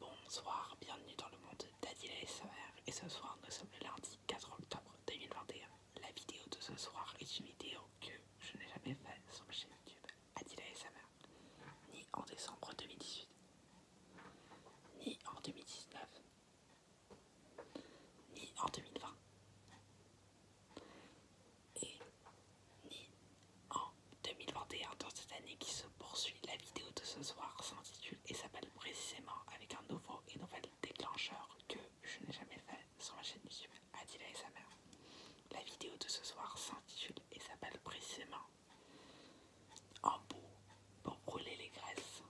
Bonsoir, bienvenue dans le monde d'Adila SMR et ce soir nous sommes le lundi 4 octobre 2021. La vidéo de ce soir est une vidéo que je n'ai jamais faite sur ma chaîne YouTube Adila SMR, ni en décembre 2018, ni en 2019, ni en 2020, et ni en 2021, dans cette année qui se poursuit, la vidéo de ce soir s'intitule et s'appelle précisément avec un nouveau et nouvel déclencheur que je n'ai jamais fait sur ma chaîne YouTube, Adila et sa mère. La vidéo de ce soir s'intitule et s'appelle précisément En bout pour brûler les graisses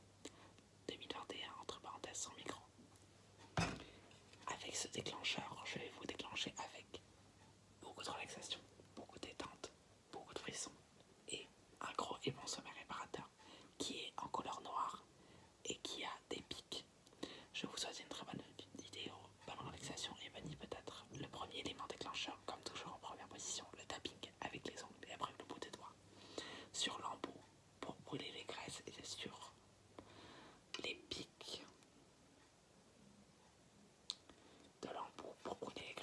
2021 entre parenthèses sans micro. Avec ce déclencheur, je vais vous déclencher avec beaucoup de relaxation, beaucoup de détente, beaucoup de frissons et un gros et bon sommet réparateur qui est en couleur noire et qui a des pics. Je vous souhaite une très bonne vidéo, bonne relaxation et vanille peut-être. Le premier élément déclencheur, comme toujours en première position, le tapping avec les ongles et après le bout des doigts sur l'embout pour brûler les graisses et sur les pics de l'embout pour couler les graisses.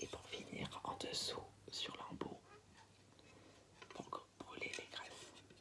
Et pour finir, en dessous, sur l'embout, pour brûler les graisses.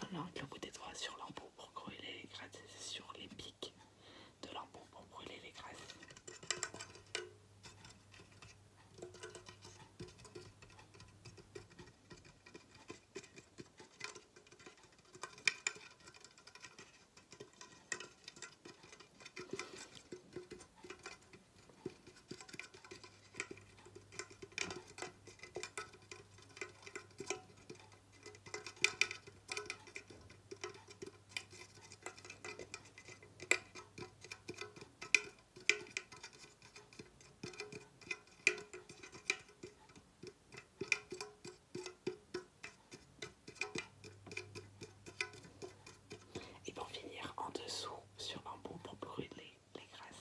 Maintenant, le coup des doigts sur l'embout pour brûler les graisses, et sur les pics de l'embout pour brûler les graisses. Et pour finir en dessous sur un bon pour brûler les graisses.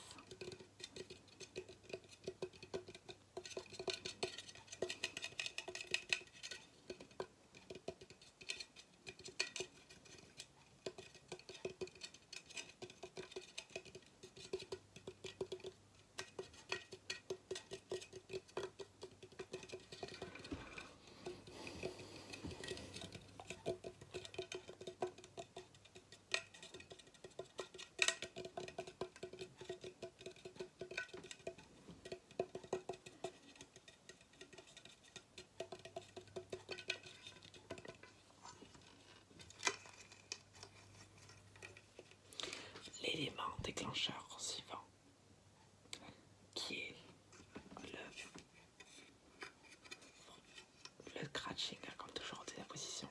L'élément déclencheur suivant qui est le, le scratching, comme toujours, la position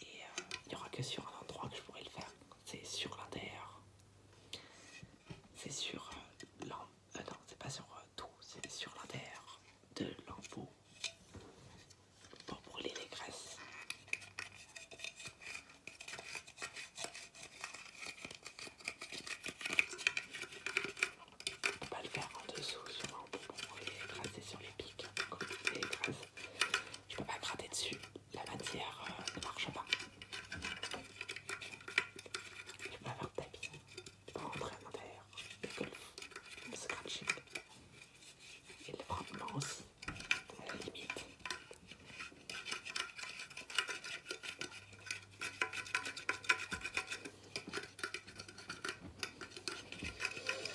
et euh, il n'y aura que sur un endroit que je pourrais le faire c'est sur l'intérieur c'est sur euh, l'en euh, non c'est pas sur tout c'est sur l'intérieur de l'embout pour brûler les graisses on peut pas le faire en dessous sur l'embout pour brûler les graisses et sur les pics pour brûler les graisses je peux pas gratter dessus, la matière euh, ne marche pas. Je peux avoir le tapis, je peux rentrer à l'intérieur, le golf, le scratching et le frappement aussi, à la limite.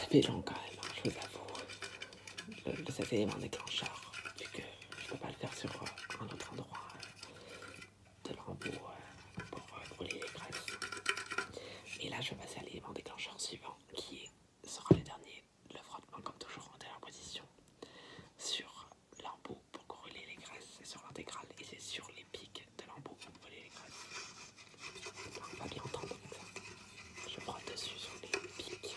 Ça fait long quand même, hein, je vous avoue, le, le, cet élément vu que je peux pas le faire sur euh, un autre endroit de l'embout euh, pour brûler les graisses. Et là, je vais passer à l'élément déclencheur suivant qui sera le dernier, le frottement, comme toujours en dernière position, sur l'embout pour brûler les graisses. C'est sur l'intégrale et c'est sur les pics de l'embout pour brûler les graisses. on va bien entendre ça. Je frotte dessus sur les pics.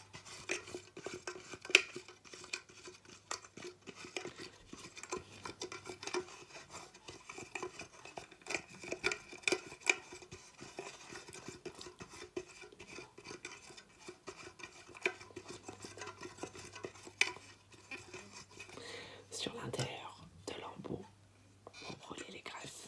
Sur l'intérieur de l'embout, vous prenez les graisses.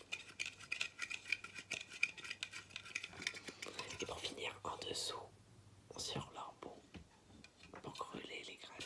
Et pour finir, en dessous, sur l'arbre pour les graines.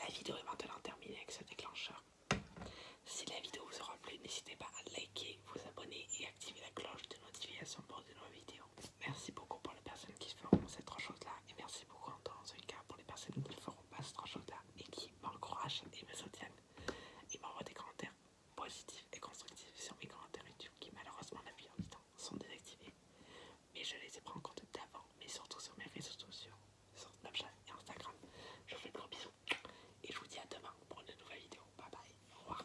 La vidéo est maintenant terminée avec ce déclencheur. Si la vidéo vous aura plu, n'hésitez pas à liker, vous abonner et activer la cloche de notification pour de nouvelles vidéos. Merci beaucoup pour les personnes qui feront cette trois là Et merci beaucoup en tant que cas pour les personnes qui ne feront pas cette trois là et qui m'encouragent et me soutiennent. Et m'envoient des commentaires positifs et constructifs sur mes commentaires YouTube qui malheureusement la plupart du temps sont désactivés. Mais je les ai pris en compte d'avant, mais surtout sur mes réseaux sociaux, sur Snapchat et Instagram. Je vous fais de gros bisous. Et je vous dis à demain pour une nouvelle vidéo. Bye bye. Au revoir.